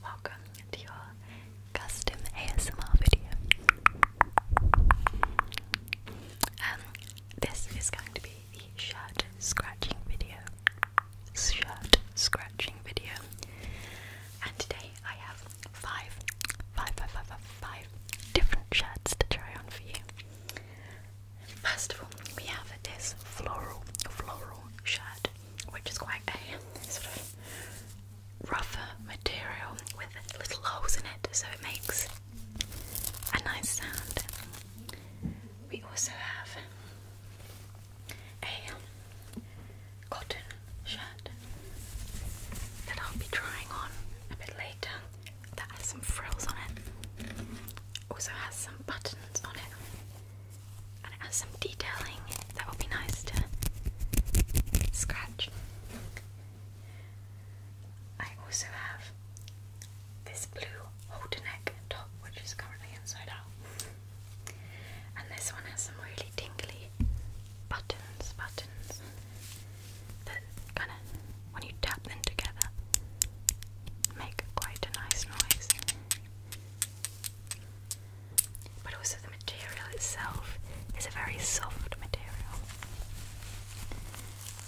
Welcome to your custom ASMR video. Um, this is going to be the shirt scratching video. Shirt scratching video. And today I have five, five, five, five, five, five different shirts to try on for you. First of all, we have this floral, floral shirt, which is quite a sort of rougher material with little holes in it, so it makes a nice sound. We also have a cotton shirt that I'll be trying on a bit later that has some frills on it. Also has some buttons on it. And it has some detailing that would be nice to scratch. I also have this blue halter neck top which is currently inside out. And this one has some really tingly buttons, buttons that kind of, when you tap them together, make quite a nice noise. But also, the material itself is a very soft material,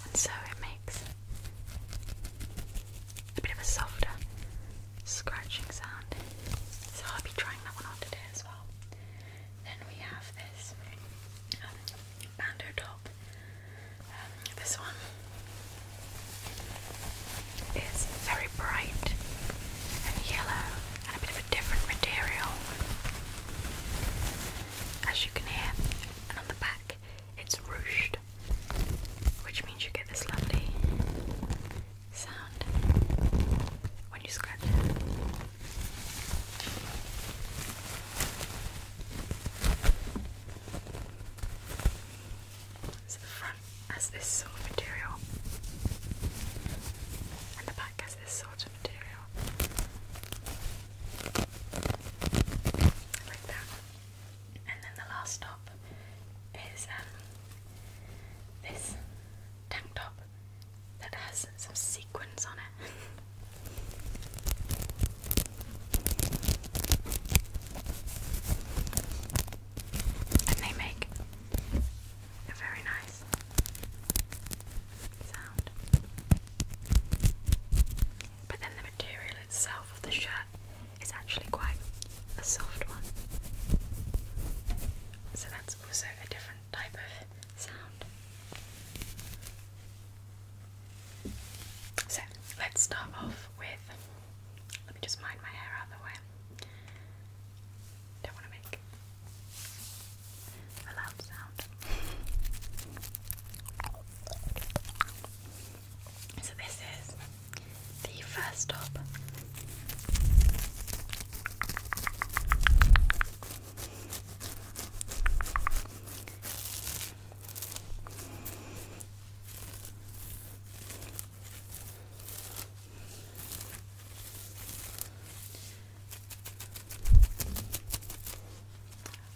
and so it makes a bit of a softer scratching sound. So, I'll be trying that one on today as well. Then we have this um, and her top. this one is very bright and yellow and a bit of a different material. As you can hear, and on the back it's ruched, which means you get this lovely sound when you scratch it. So the front has this sort of material, and the back has this sort of material. Like that. And then the last stop is um, this tank top that has some sequins on it and they make a very nice sound. But then the material itself of the shirt is actually quite a soft one. So that's also a different type of sound. So let's start off with. Let me just mind my hair out the way. Don't want to make a loud sound. So this is the first top.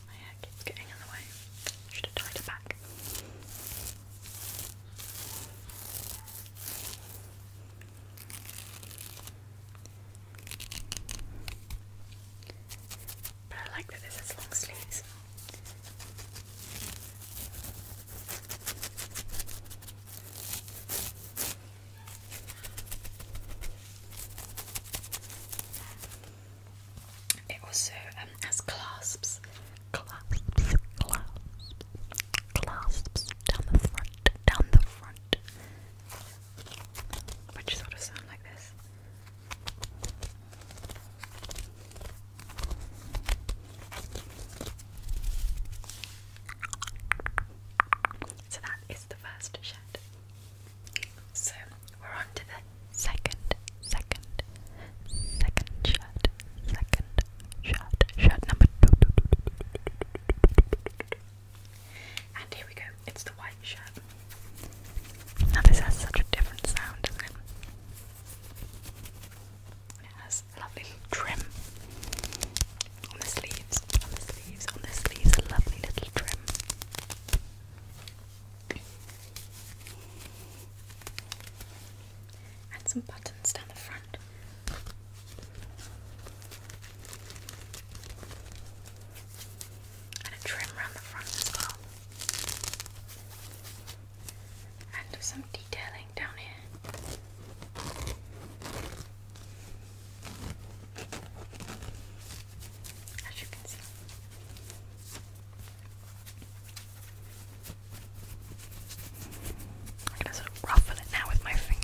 My hair keeps getting in the way. Should have tied it back. But I like that this has long sleeves. It also um, has clasps, clasps, clasps, clasps down the front, down the front, which sort of sound like this. So that is the first shed. So we're on to the second, second, second shed, second shed, shed number two. And here we go, it's the white shirt. Now, this has such a different sound, It has a lovely little trim on the sleeves, on the sleeves, on the sleeves, a lovely little trim. And some buttons down the front and a trim around the front as well. And some detailing down here. As you can see. I'm gonna sort of ruffle it now with my fingers.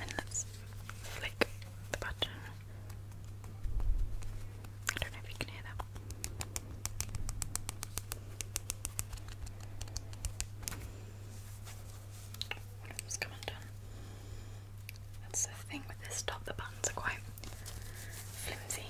And let's flick the button. I don't know if you can hear that. One of come undone. That's the thing with this top, the buttons are quite flimsy.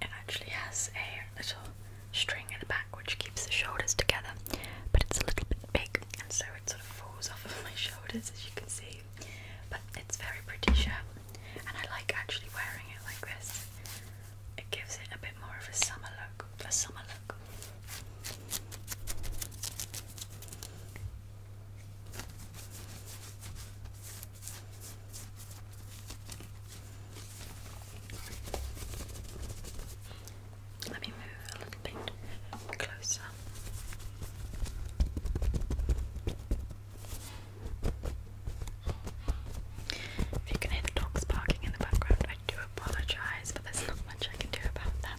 It actually has a little string in the back which keeps the shoulders together, but it's a little bit big, and so it sort of falls off of my shoulders as you can see but it's very pretty shirt, and I like actually wearing it like this. It gives it a bit more of a summer look. A summer look. Let me move a little bit closer versa. can hear the dogs barking in the background, I do apologise, but there's not much I can do about that.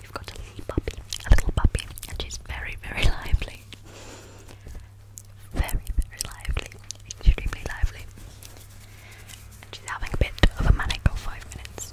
We've got a little puppy, a little puppy, and she's very, very lively. Very, very lively. Extremely lively. And she's having a bit of a manic for five minutes.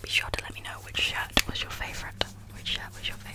Be sure to let me know which shirt was your favourite. Which shirt was your favourite?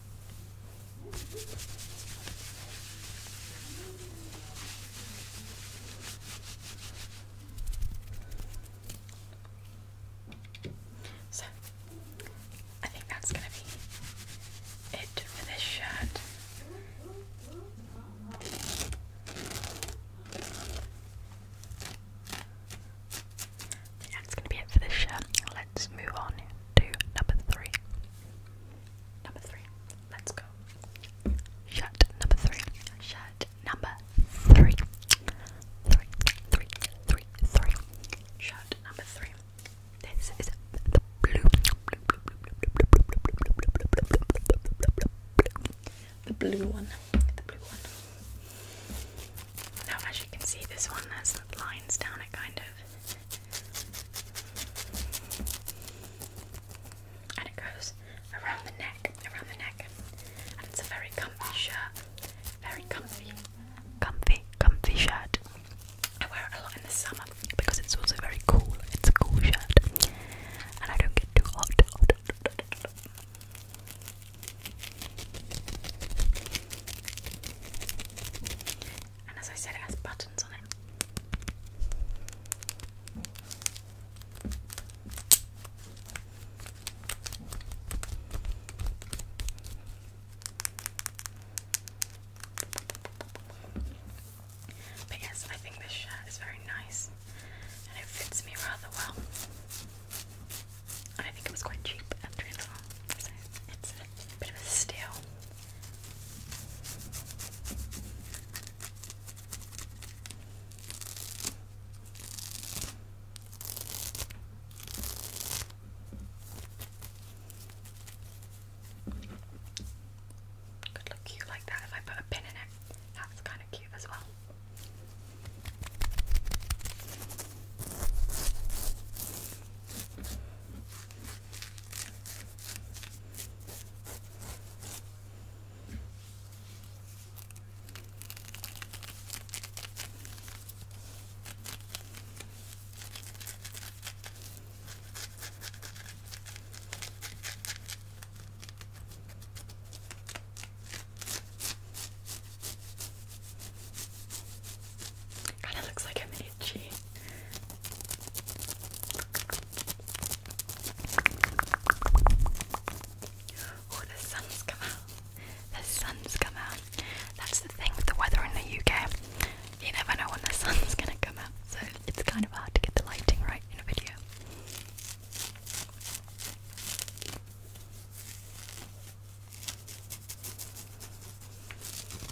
So, I think that's going to be it for this shirt. That's going to be it for this shirt. Let's move on to number three number three. Let's go. Shut number three. Shut number three. Three, three, three, three. Shut number three. This is the blue. The blue one. The blue one. Now, as you can see, this one has lines down it, kind of. And it goes around the neck, around the neck. it's a very comfy shirt. Very comfy, comfy, comfy shirt. I wear it a lot in the summer because it's also very cool. It's a cool shirt. And I don't get too hot and as I said, it has buttons on it. But yes, I think this shirt is very nice and it fits me rather well. I think it was quite cheap at 3 it's a bit of a steal could look cute like that if I put a pin in it. That's kind of cute as well. Kind of looks like a itchy. Oh, the sun's come out. The sun's come out. That's the thing with the weather in the UK. You never know when the sun's gonna come out, so it's kind of hard to get the lighting right in a video.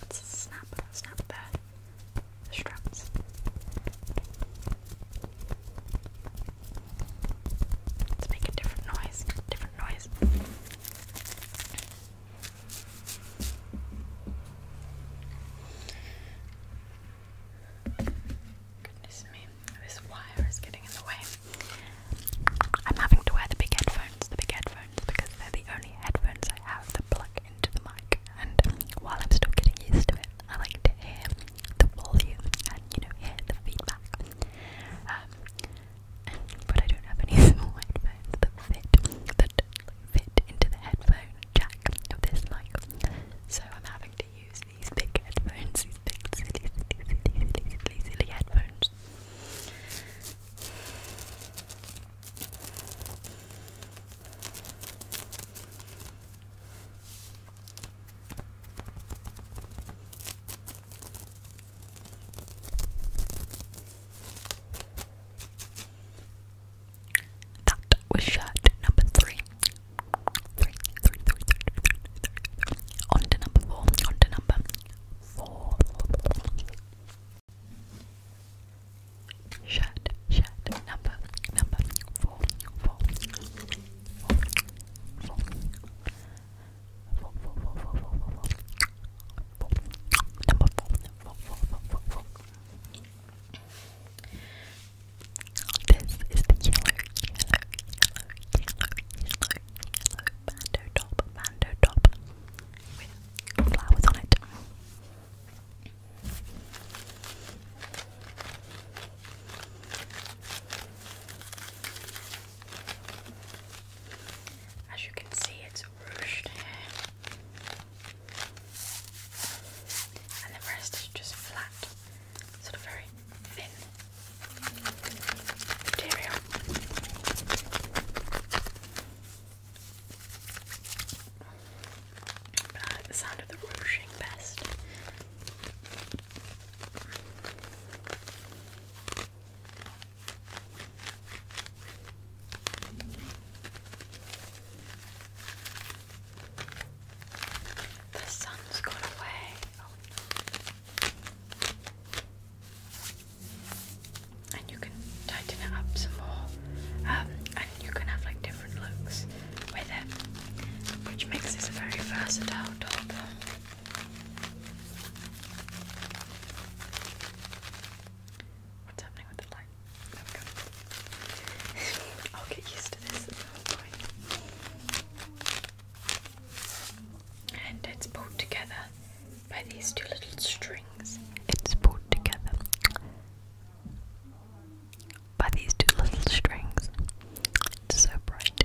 Let's snap, snap the straps. Let's make a different noise. Different noise. Goodness me, this wire is getting in the way. I'm having to wear the big headphones, the big headphones, because they're the only headphones I have that plug into the mic. And while I'm still getting used to it, I like to hear the volume and you know hear the feedback. Um, but I don't have any small headphones that fit that fit into the headphone jack of this mic. So I'm having to use these big headphones, these big silly, silly, silly, silly, silly, silly headphones. That was shirt number three. Three, three, three, On to number four. On to number four. Shirt, shirt, number, number four, four, four, four, four, this is the yellow, yellow, yellow, yellow, yellow, yellow bando top, bando top with flowers on it. As you can see, it's ruched and the rest is just flat, sort of very thin material. the sound of the ruching best. The sun's gone away. And you can tighten it up some more. Um, and you can have like different looks with it, which makes this a very versatile top. What's happening with the light? I'll get used to this. And it's pulled together by these two little strings. It's pulled together by these two little strings. It's so bright.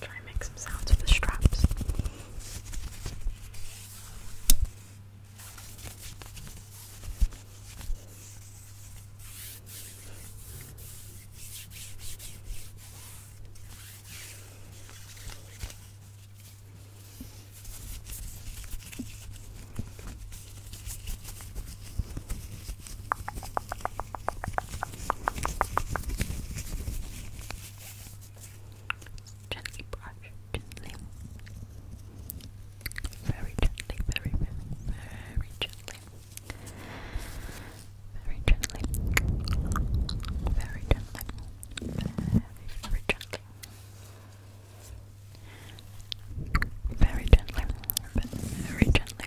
Try and make some sounds with the straps. Gently brush, gently. Very gently, very, very, very gently. Very gently. Very gently. Very, very gently. Very gently, but very gently. Very gently,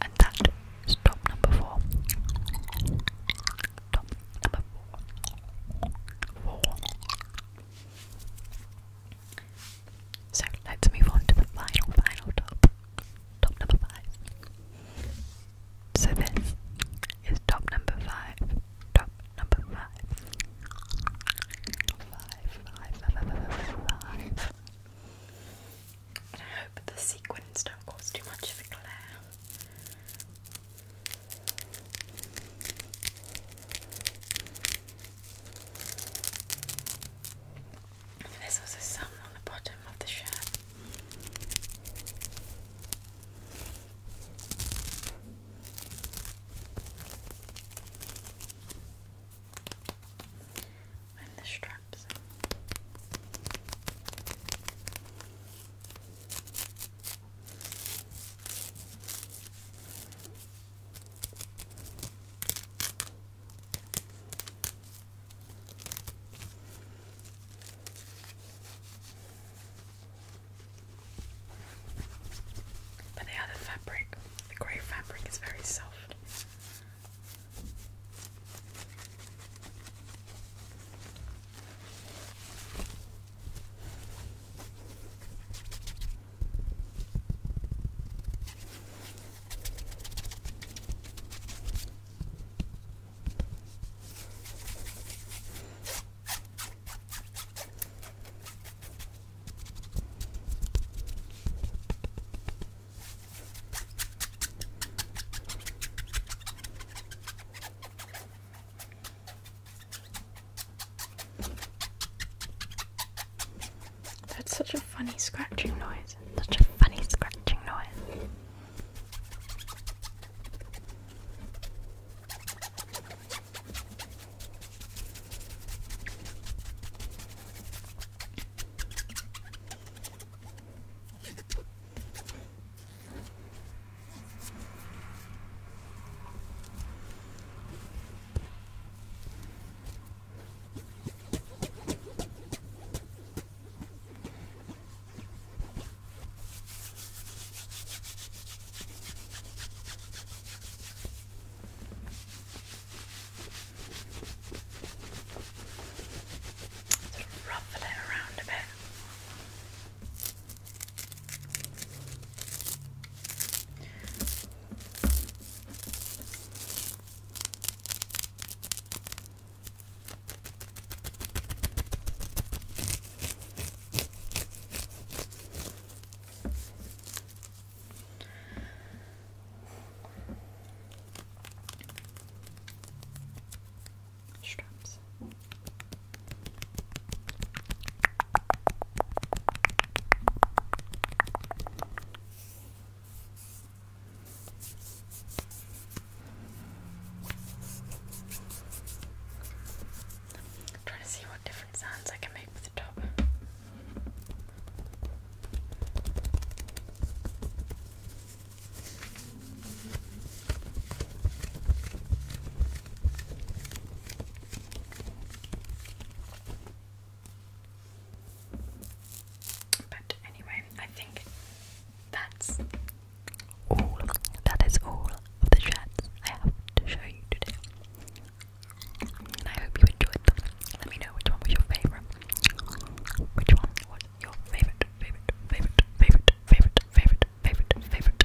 And that is top number four. Top number four. Four. So let's move on to the final, final top. Top number five. So this is top number five. Top number five. Five, five, five, five, five. And I hope the sequins don't cause too much of a glare. And there's also some on the bottom of the shirt. And the straps. But the other fabric, the grey fabric, is very soft. That's such a funny scratching noise. Such a funny scratching noise. Sort of ruffle it around a bit. Straps i trying to see what different sounds I can make with the top. But anyway, I think that's all. That is all of the shirts I have to show you today. And I hope you enjoyed them. Let me know which one was your favourite. Which one was your favourite, favourite, favourite, favourite, favourite, favourite, favourite, favourite.